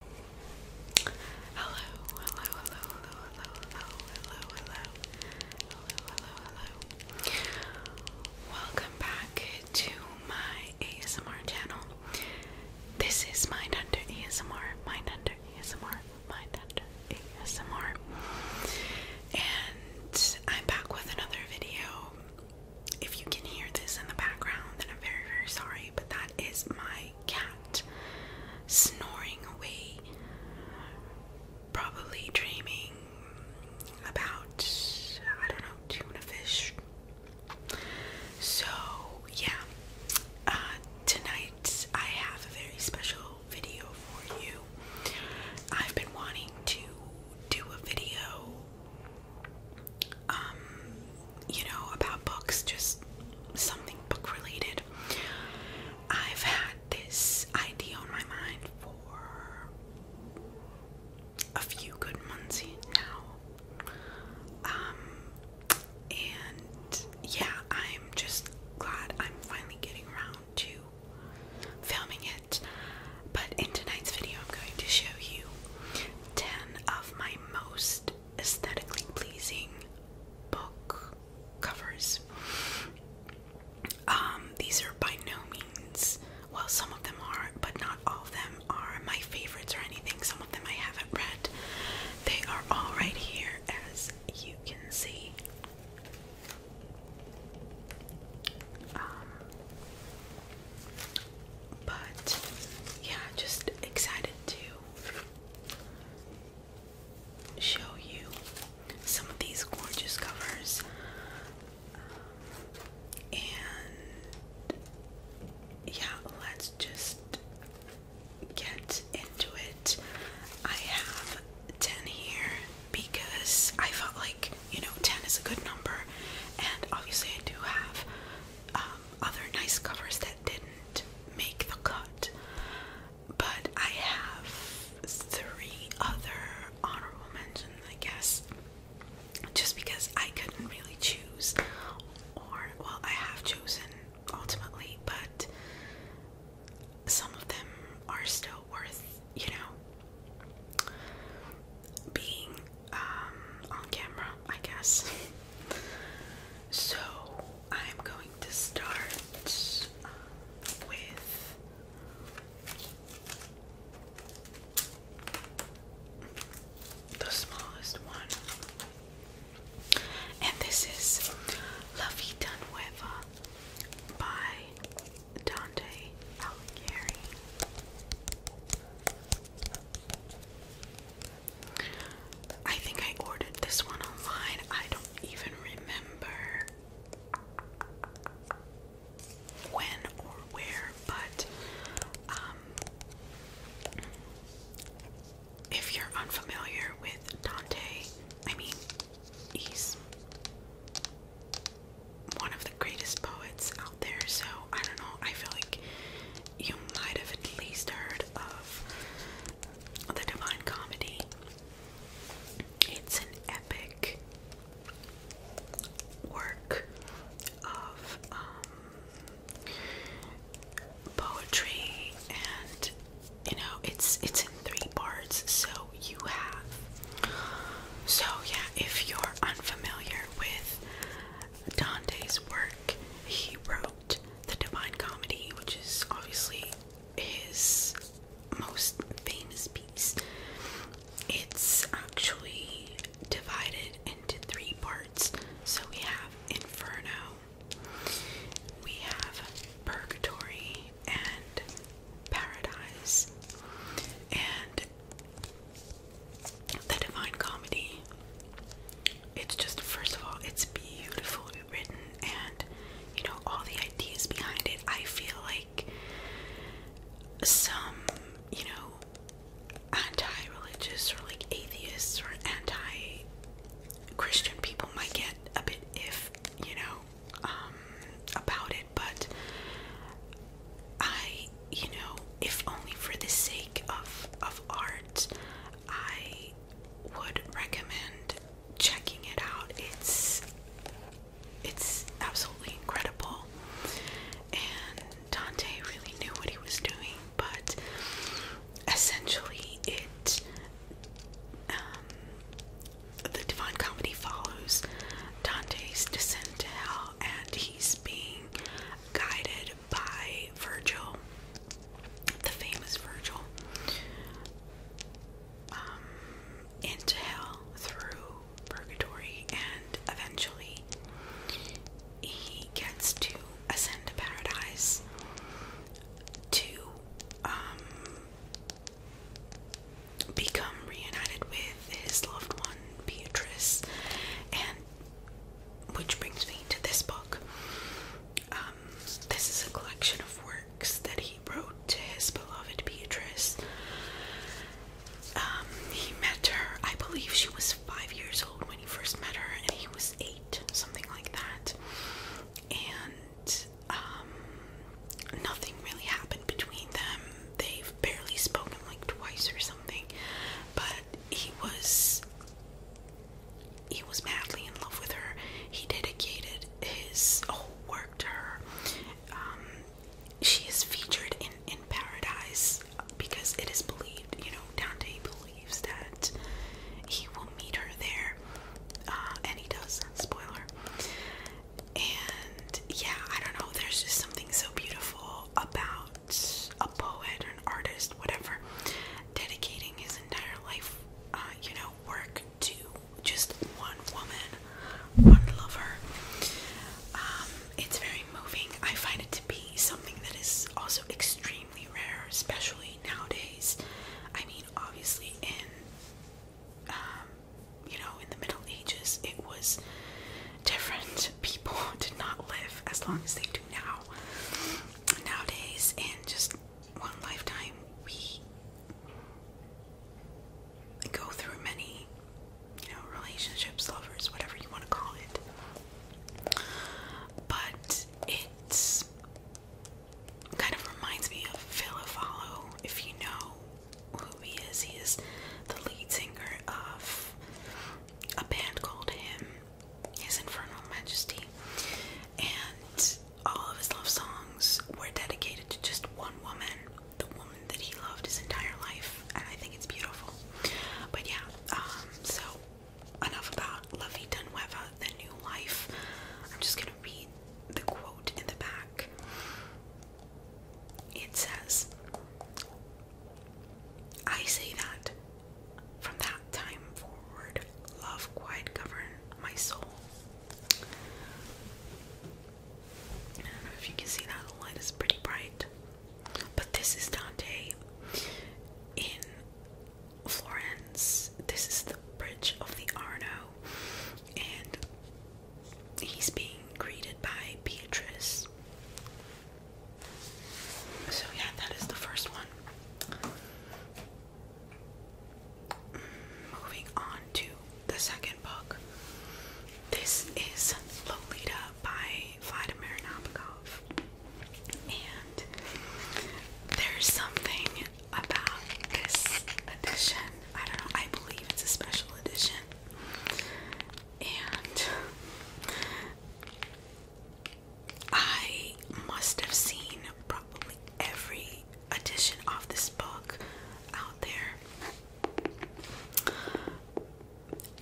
hello, hello, hello, hello, hello, hello, hello, hello, hello, Welcome back to my ASMR channel. This is Mindhunter ASMR, Mindhunter ASMR, Mindhunter ASMR, and I'm back with another video. If you can hear this in the background, then I'm very, very sorry, but that is my cat snoring away, probably dreaming about, I don't know, tuna fish. So, yeah, uh, tonight I have a very special video for you. I've been wanting to do a video um, you know, about books, just something book related. I've had this idea on my mind for a few good months now. Um, and yeah, I'm just glad I'm finally getting around to filming it. But in tonight's video, I'm going to show you 10 of my most aesthetically pleasing book covers. Um, these are by no means, well, some of them are, but not all of them are my favorites or anything. Some of them I haven't read. They are all right here, as you can see. Um, but yeah, just excited to show you some of these gorgeous covers. and yeah, let's just get into it. I have 10 here because I felt like, you know, 10 is a good number, and obviously I do have um, other nice covers that didn't make the cut, but I have three other honorable mentions, I guess, just because I couldn't really choose, or well, I have chosen ultimately, but some of them are still worth, you know, being um, on camera, I guess. so I'm going to start uh, with the smallest one, and this is La Vida Nueva by Dante Alighieri. I think I ordered this one online. I don't even remember when or where, but um, if you're unfamiliar with Dante, I mean, he's one of the greatest poets out there, so I don't know, I feel like you might have at least heard of The Divine Comedy. It's an epic work of um, poetry, and you know it's it's in three parts. So you have so yeah. If you're unfamiliar with Dante's work, he wrote the Divine Comedy, which is obviously his most famous piece. It's actually divided into three parts. So we have Inferno, we have Purgatory, and Paradise. And the Divine Comedy. It's just, first of all, it's beautifully written, and you know, all the ideas behind it. I feel like some, you know, anti religious or like atheists or anti Christian people might get a bit if, you know, um, about it, but I you know, if only for the sake of of art, I would recommend checking it out. It's it's absolutely incredible. And Dante really knew what he was doing, but essentially it um, the Divine Comedy follows Dante's descent to hell and he's being guided by Virgil, the famous Virgil, um, into hell through purgatory, and eventually he gets to ascend to paradise to um, become reunited with his loved one Beatrice and which brings me to this book. Um, this is a collection of works that he wrote to his beloved Beatrice. Um, he met her, I believe she was five years old when he first met her, and he was eight, something like that. And um, nothing really happened between them. They've barely spoken like twice or something, but he was he was madly in love with her. He dedicated his whole work to her. Um, she is featured in in paradise because it is believed, you know, Dante believes that he will meet her there, uh, and he does. Spoiler. And yeah, I don't know. There's just something so beautiful about a poet or an artist, whatever, dedicating his entire life, uh, you know, work to just one woman, one lover. Um, it's very moving. I find it to be something that is also extremely rare, especially nowadays. I mean, obviously, in um, you know, in the Middle Ages, it was different. People did not live as long as they do now nowadays in just one lifetime we go through many you know relationships lovers whatever you want to call it but it kind of reminds me of Phil Follow if you know who he is he is the lead singer of a band called him his infernal majesty, and all of his love songs were dedicated to just one woman, the woman that he loved his entire life, and I think it's beautiful. But yeah, um, so enough about Lovey Vida the new life. I'm just gonna read the quote in the back. It says, I say that from that time forward, love quite governed my soul. I don't know if you can see that the light is pretty bright, but this is Dante in Florence. This is the bridge of the Arno, and he's being greeted by Beatrice. So yeah, that is the first one. Moving on to the second book. This is Lolita by Vladimir Nabokov. And there's something about this edition. I don't know, I believe it's a special edition. And I must have seen probably every edition of this book out there.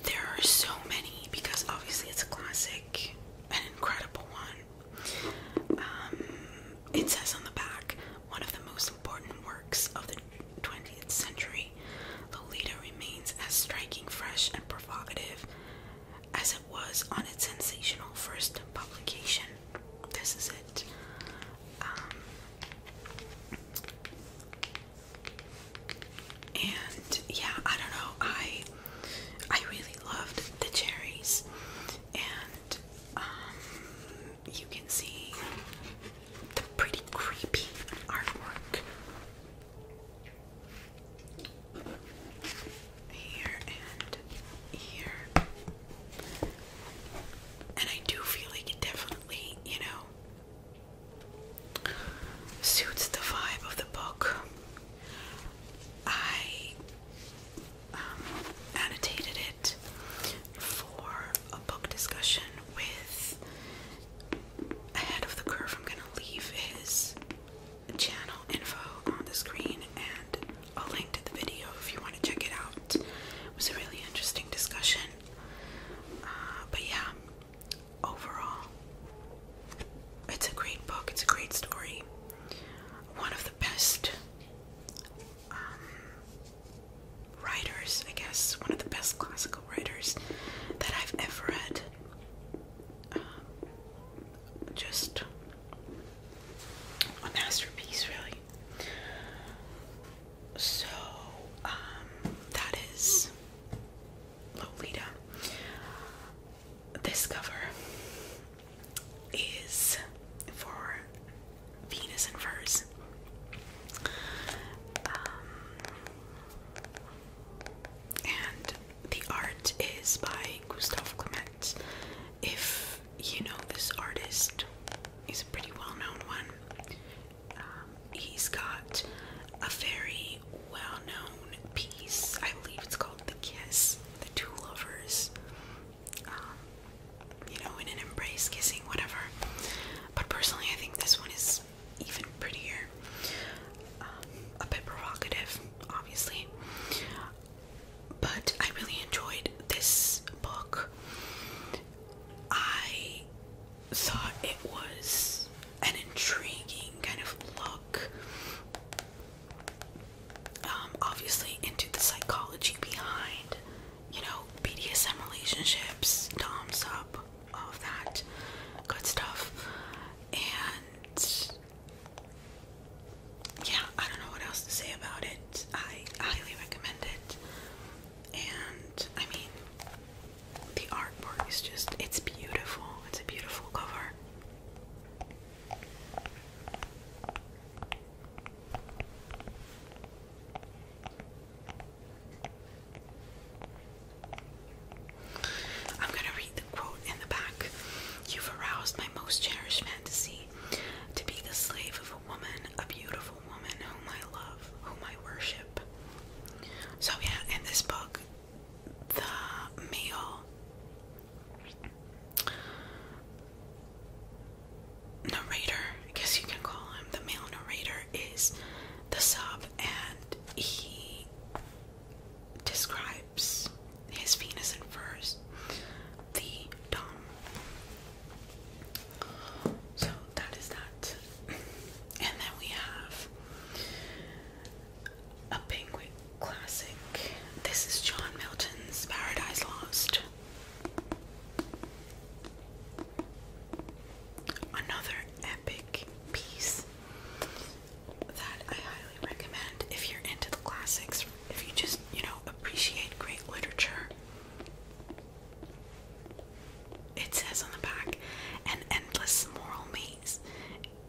There are so many because obviously it's a classic, an incredible one. Um, it says on the back, one of the most important works of the 20th century, Lolita remains as striking, fresh, and provocative as it was on its sensational first publication. This is it. Um, and yeah, I don't know. I I really loved the cherries, and um, you can see the pretty creepy artwork here and here. And I do feel like it definitely, you know, suits the vibe of the book. I um, annotated it for a book discussion with ahead of the curve. I'm gonna leave his channel info on the screen and a link to the video if you want to check it out. It was a really interesting discussion. Uh, but yeah, overall, it's a great book, it's a great story. One of the best um, writers, I guess, one of the best classical writers that I've ever read. Um, just a masterpiece, really. So, um, that is Lolita. This cover is for Venus and Furs. Um, and the art is by Gustav Clement. If you know this artist, he's a pretty well known one. Um, he's got a very well known piece, I believe it's called The Kiss, The Two Lovers. Um, you know, in an embrace, kissing, whatever. But personally, I think this one is even prettier. Um, a bit provocative, obviously. But I really enjoyed this book. I thought it was an intriguing kind of look, um, obviously, into the psychology behind, you know, BDSM relationships, Dom's up, all that good stuff. And yeah, I don't know what else to say about it. I highly recommend it. And I mean, the artwork is just, it's beautiful. It's a beautiful cover. I'm gonna read the quote in the back. You've aroused my most cherished fantasy to be the slave of a woman, a beautiful woman whom I love, whom I worship. So, yeah, in this book, the male narrator, I guess you can call him, the male narrator is the sub, and he describes his penis in first the dom. So that is that. And then we have a penguin classic. This is John Milton's Paradise Lost. Another epic piece that I highly recommend if you're into the classics, if you just, you know, appreciate great literature. It says on the back, an endless moral maze,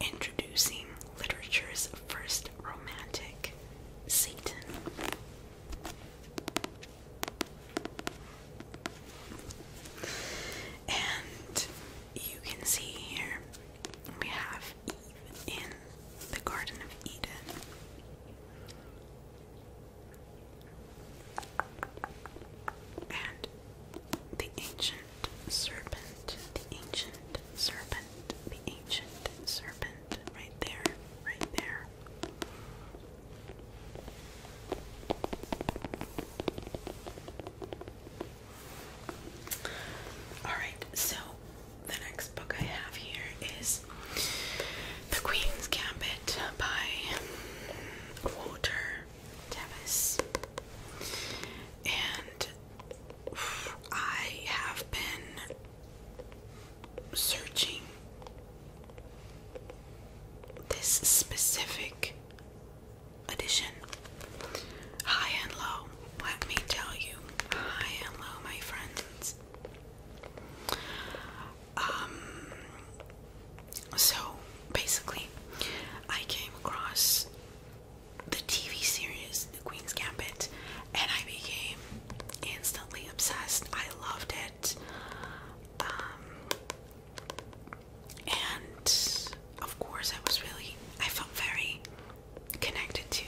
introducing literature's first romantic, Satan. And you can see here we have Eve in the Garden of Eden. And the ancient serpent, the ancient serpent, the ancient serpent, right there, right there. Alright, so the next book I have here is The Queen's Gambit by Walter Davis. And I have been searching this specific edition. High and low, let me tell you. High and low, my friends. Um, so basically, I came across the TV series The Queen's Gambit and I became instantly obsessed. I loved it. Um, and of course, I was really, I felt very connected to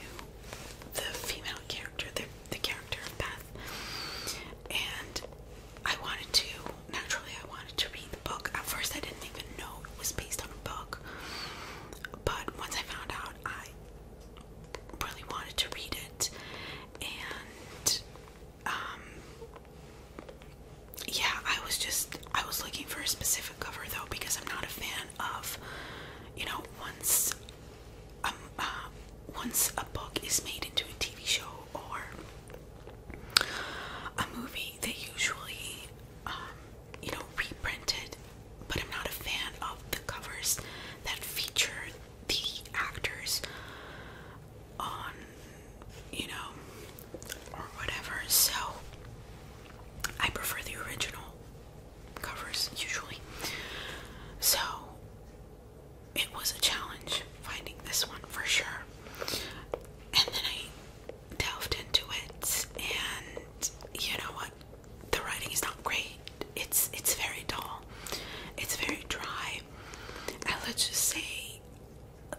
the female character, the, the character of Beth. And I wanted to, naturally, I wanted to read the book. At first, I didn't even know it was based on a book. But once I found out, I really wanted to read it. And, um, yeah, I was just, I was looking for a specific cover though because I'm not a fan of, you know, once um uh, once a book is made into a TV show or a movie, they usually um, you know reprint it. But I'm not a fan of the covers that feature the actors on, you know, or whatever. So I prefer the original covers usually. So it was a challenge finding this one for sure. And then I delved into it and you know what? The writing is not great. It's it's very dull. It's very dry. And let's just say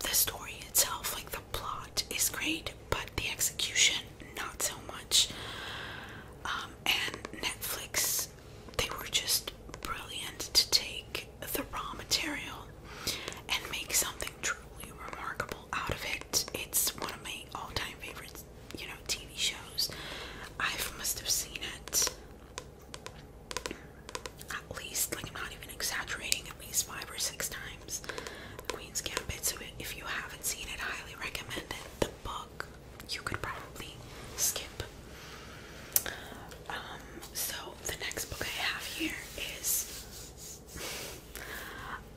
the story itself, like the plot is great, but the execution not so much. Um, and Netflix, they were just brilliant to take the raw material and make something truly remarkable out of it. It's one of my all-time favorites, you know, TV shows. I must have seen it at least, I'm not even exaggerating, at least five or six times times. The Queen's Gambit. So if you haven't seen it, I highly recommend it. The book you could probably skip. Um, so the next book I have here is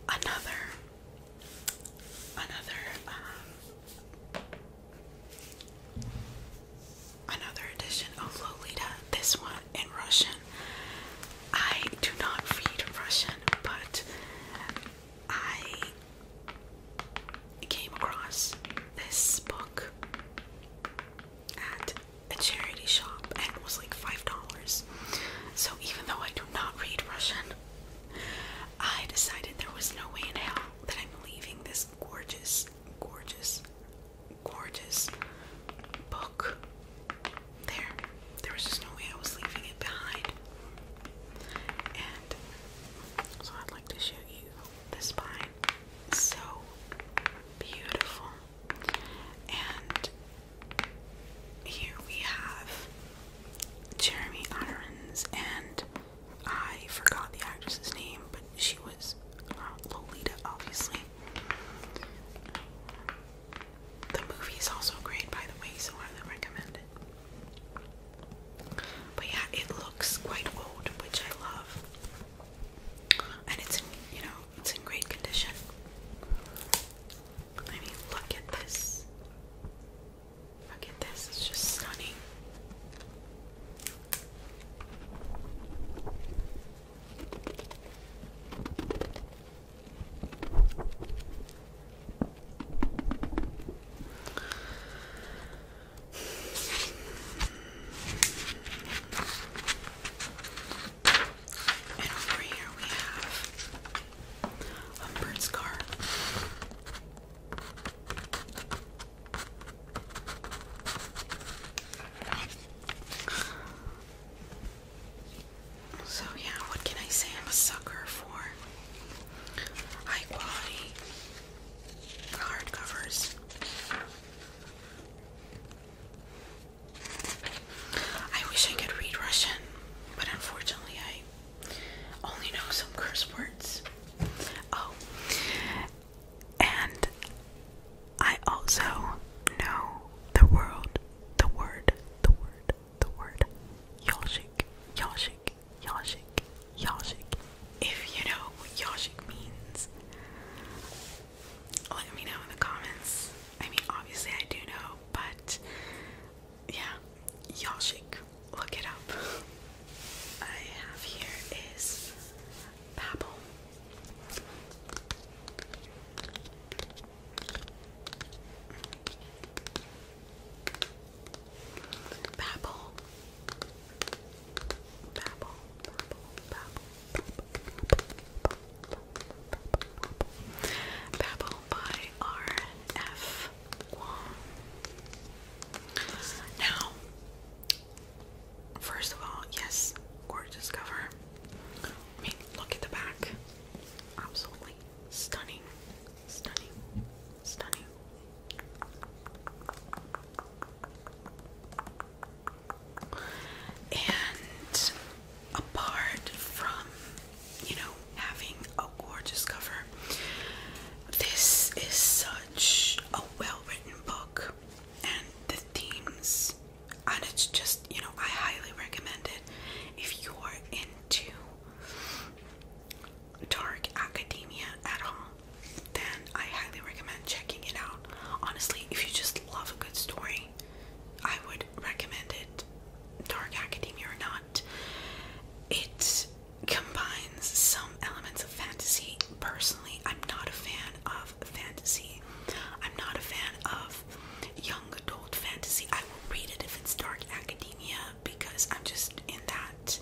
another another um, another edition of Lolita, this one in Russian. I do not read Russian, but I came across this book at a charity shop and it was like $5. So even though I do not read Russian, I decided there was no way in hell that I'm leaving this gorgeous, gorgeous, gorgeous book there. There was just no way I was leaving it behind. And so I'd like to show you the spine. So beautiful. And here we have Jeremy Irons, and I forgot the actress's name, but she was uh, Lolita, obviously. The movie is also great, by the way, so highly recommend it. But yeah, it looks quite old, which I love, and it's you know it's in great condition. I mean, look at this. Look at this. It's just stunning. And over here we have Humbert's car. So yeah, what can I say? I'm a sucker for high quality hardcovers. I wish I could read Russian, but unfortunately I only know some curse words. Oh, and I also know the world, the word, the word, the word yashik, yashik, yashik, yashik. If you know what yashik means, let me know in the comments. I mean, obviously I do know, but yeah, yashik. Look it up. I have here is Babbel. Babble. Babble, babble, babble, babble, by R.F. Now, first of all, yes, gorgeous cover. I mean, look at the back. Absolutely stunning, stunning, stunning. And apart from, you know, having a gorgeous cover, this is such a well written book, and the themes, and it's just, you know, I highly recommend it if you're in to Dark Academia at all, then I highly recommend checking it out. Honestly, if you just love a good story, I would recommend it. Dark Academia or not, it combines some elements of fantasy. Personally, I'm not a fan of fantasy. I'm not a fan of young adult fantasy. I will read it if it's dark academia because I'm just in that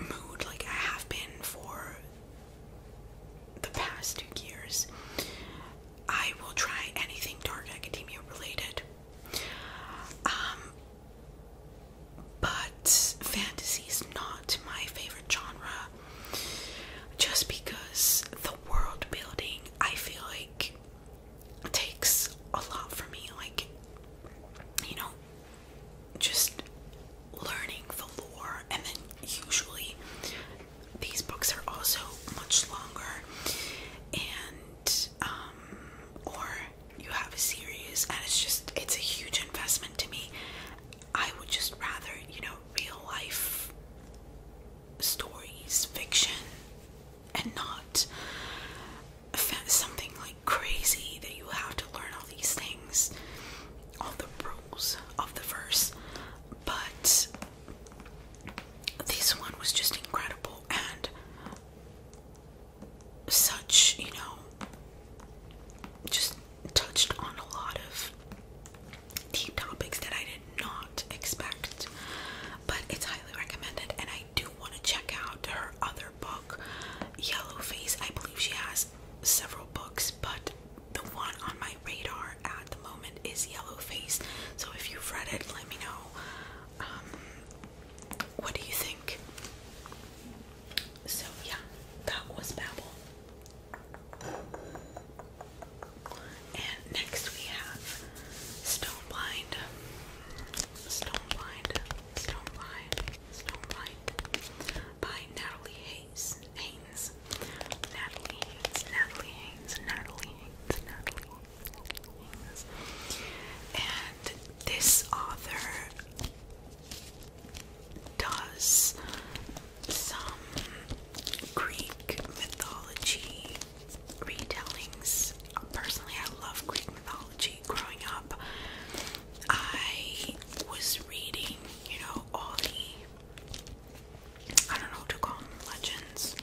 mood like I have been for the past two years. I will try anything dark academia related. Um but fantasy is not my favorite genre just because the world building I feel like takes a lot for me, like, you know, just learning the lore, and then usually these books are also much longer, and, um, or you have a series, and it's just, it's a huge investment to me. I would just rather, you know, real life stories, fiction, and not something like crazy that you have to learn all these things, all the rules of the verse. But this one was just incredible and such, you know, just touched on a lot of deep topics that I did not expect. But it's highly recommended, and I do want to check out her other book, Yellow Face. I believe she has several books, but the one on my radar at the moment is Yellow Face. So if you've read it, let me know. Um, what do you think? So yeah, that was Babel. And next we have Stoneblind. Stoneblind. Stoneblind. Stoneblind. By Natalie Hayes. Haynes. Natalie Haynes. Natalie Haynes. Natalie Haynes. Natalie Haynes. And this author does some Greek mythology retellings. Personally, I love Greek mythology. Growing up, I was reading, you know, all the I don't know to call them legends,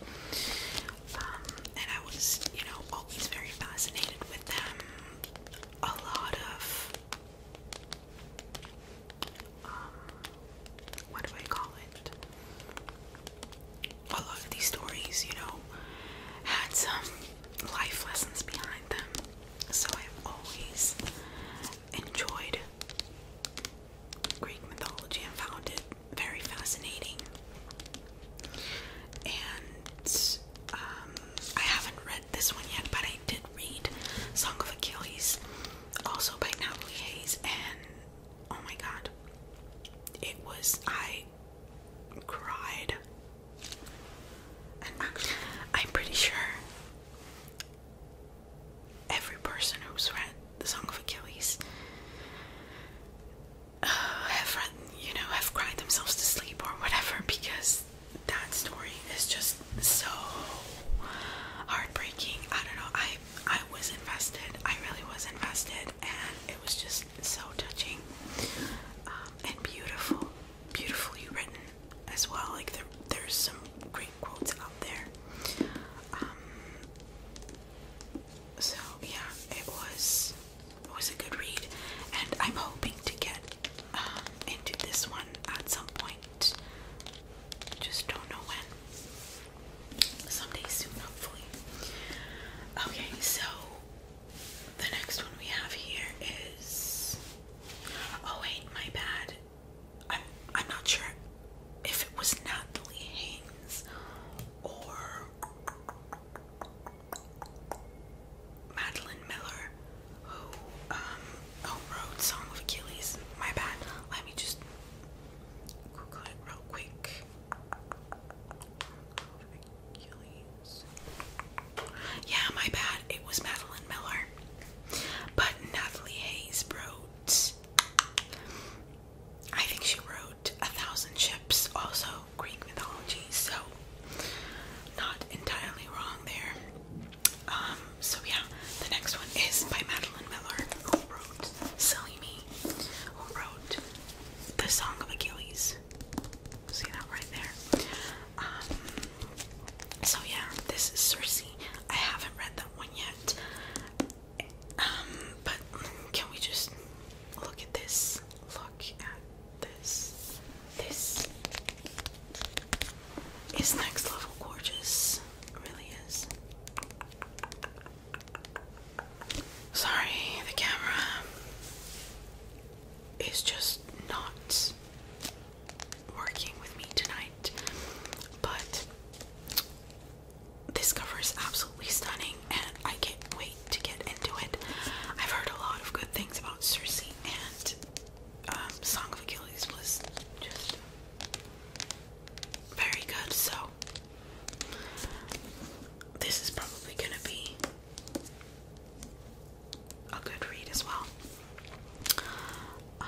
um, and I was, you know, always very fascinated with them. A lot of um, what do I call it? a lot of these stories, you know, had some life lessons behind them. So I've always enjoyed Greek mythology and found it very fascinating. And um, I haven't read this one yet, but I did read Song of Achilles, also by Natalie Hayes, and oh my god it was i cried i'm pretty sure every person who's read the song of achilles uh, have read, you know have cried themselves to sleep or whatever because that story is just so heartbreaking i don't know i I was invested. I really was invested, and it was just so touching um, and beautiful, beautifully written as well. Like there, there's some great quotes out there. Um, so yeah, it was it was a good read, and I'm hoping to get um, into this one at some point. Just don't know when someday soon, hopefully. Okay, so the next one we have here is. Oh wait, my bad. I'm I'm not sure if it was Natalie Haynes or Madeline Miller who um, wrote Song of Achilles. My bad. Let me just Google it real quick. Yeah, my bad. It was Madeline Miller. But Natalie Hayes wrote. I think she wrote A Thousand Ships, also Greek mythology, so not entirely wrong there. Um, so yeah, the next one is by Madeline Miller, who wrote Silly Me who wrote the Song of Achilles. See that right there? Um, so yeah, this is Circe. I haven't read that one yet. Um, but can we just look at this? Look at this. This is next level gorgeous. really is. Sorry, the camera is just not working with me tonight, but this cover is absolutely stunning and I can't wait to get into it. I've heard a lot of good things about Cersei, and um, Song of Achilles was just very good, so this is probably going to be a good read as well. Um,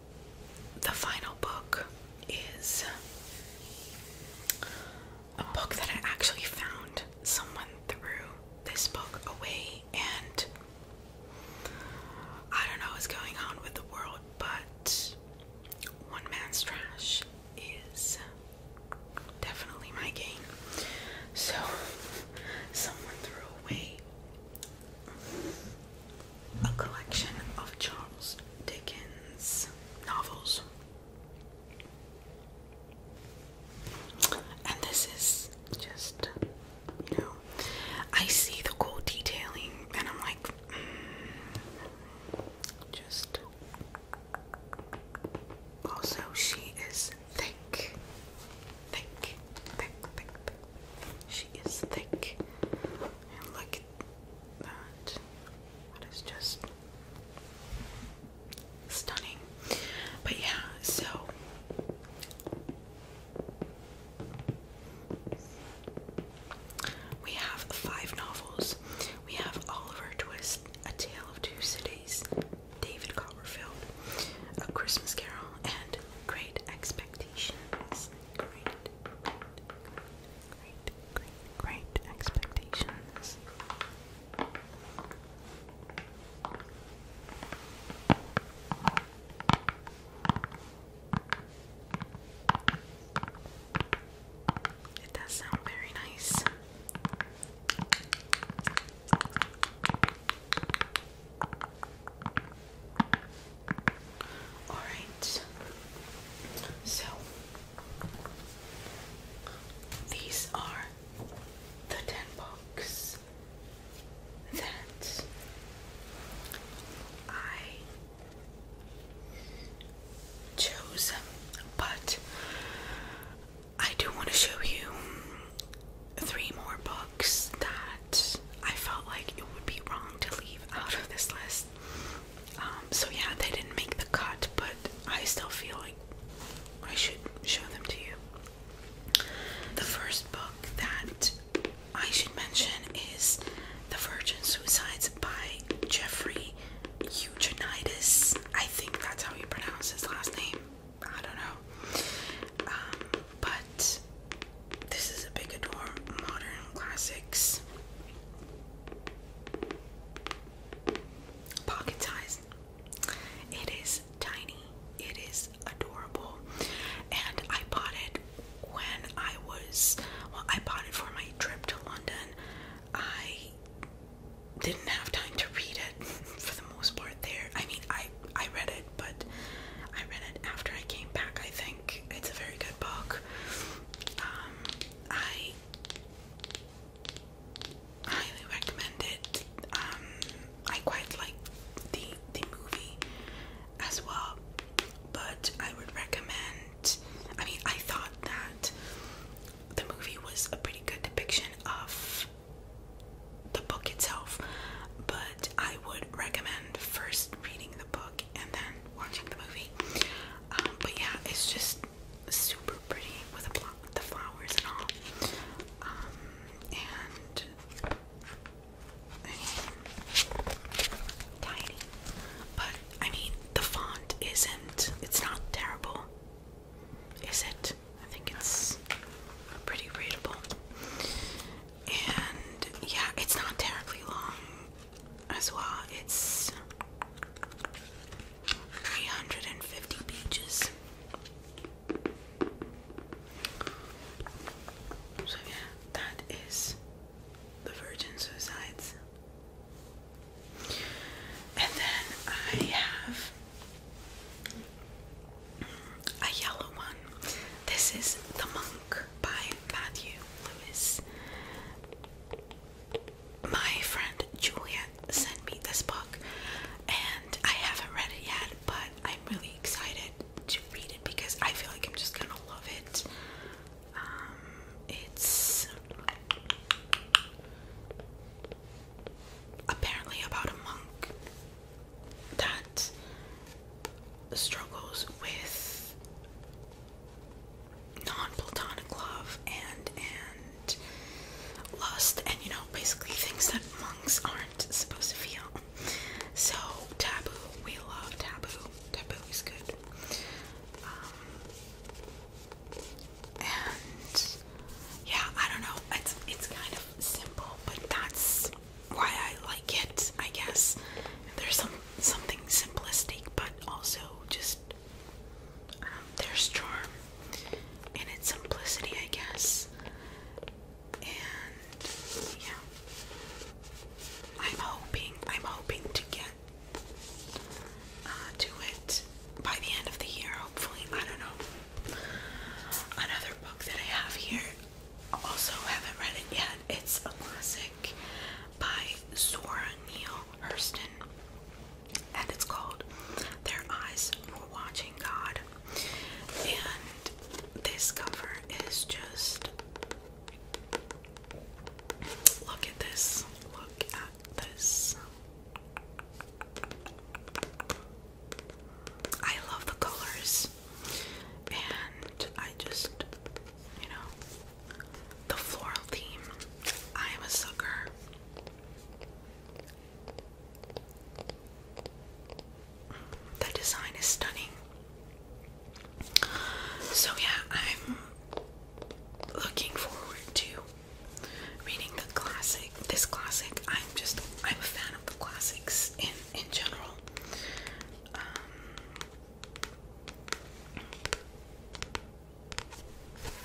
the final book is a book that I actually found. Someone threw this book away, and I don't know what's going on with the world, but one man's trash is definitely my gain. So, someone threw away a collection of Charles Dickens novels. And this is just, you know, I see the cool detailing and I'm like, mm, just. Also, she is thick. Thick, thick, thick, She is thick. And look that. That is just stunning. But yeah, so we have five novels. We have Oliver Twist, A Tale of Two Cities, David Copperfield, A Christmas Carol, and Great Expectations. Great, Great, great, great expectations. It does sound very nice. Alright, so these are the 10 books that I chose, but I do want to show you three more books that I felt like it would be wrong to leave out of this list. Um, so yeah, they didn't make the cut, but I still feel like I should show them to you. The first book that I should mention is The Virgin Suicides by Jeffrey Eugenides. I think that's how you pronounce his last name. I don't know. Um, but this is a big adore modern classics. Pocket size. It is tiny. It is adorable. And I bought it when I was well, I bought it for my trip to London. I didn't have time to read it for the most part there. I mean I I read it but I read it after I came back I think. It's a very good book. Um, I highly recommend it. Um, I quite like the the movie as well, but I would recommend. I mean, I thought that the movie was a pretty good depiction of the book itself, but I would recommend first reading the book and then watching the movie. Um, but yeah, it's just super pretty with a plot with the flowers and all. Um, and tiny. But I mean the font isn't it's not terrible. Is it? I think it's pretty readable. And yeah, it's not terribly long as well. It's 350 pages. So, yeah, that is The Virgin Suicides. And then I have a yellow one. This is The Monk by Matthew Lewis my friend Juliet sent me this book, and I haven't read it yet, but I'm really excited to read it because I feel like I'm just gonna love it. Um, it's apparently about a monk that struggles with non-platonic love and and lust and you know basically things that monks aren't supposed to feel. So taboo, we love taboo. Taboo is good. Um, and yeah, I don't know. It's it's kind of simple, but that's why I like it. I guess there's some something simplistic, but also just um, there's charm in its simplicity, I guess. And yeah, I'm hoping I'm hoping to get uh, to it by the end of the year. Hopefully, I don't know. Another book that I have here, also haven't read it yet. It's a classic by Zora Neale Hurston, and it's called Their Eyes Were Watching God. And this cover is just look at this. Look at this. I love the colors, and I just, you know, the floral theme. I am a sucker. The design is stunning. So, yeah, I'm looking forward to reading the classic. This classic, I'm just, I'm a fan of the classics in, in general. Um,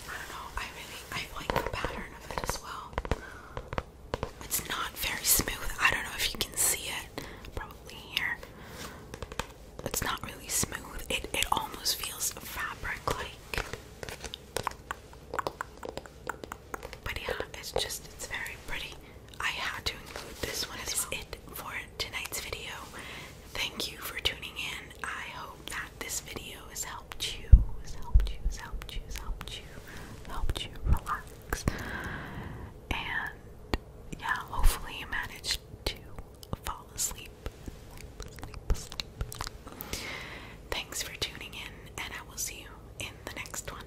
I don't know, I really, I like the pattern of it as well. It's not very smooth. I don't know if you can see it, probably here. It's not really smooth. It it almost feels fabric-like. But yeah, it's just it's very pretty. I had to include this one. That is it for tonight's video. Thank you for tuning in. I hope that this video has helped you, has helped you, has helped you, has helped you, helped you relax. And yeah, hopefully you managed to fall asleep. Thanks for tuning in, and I will see you in the next one.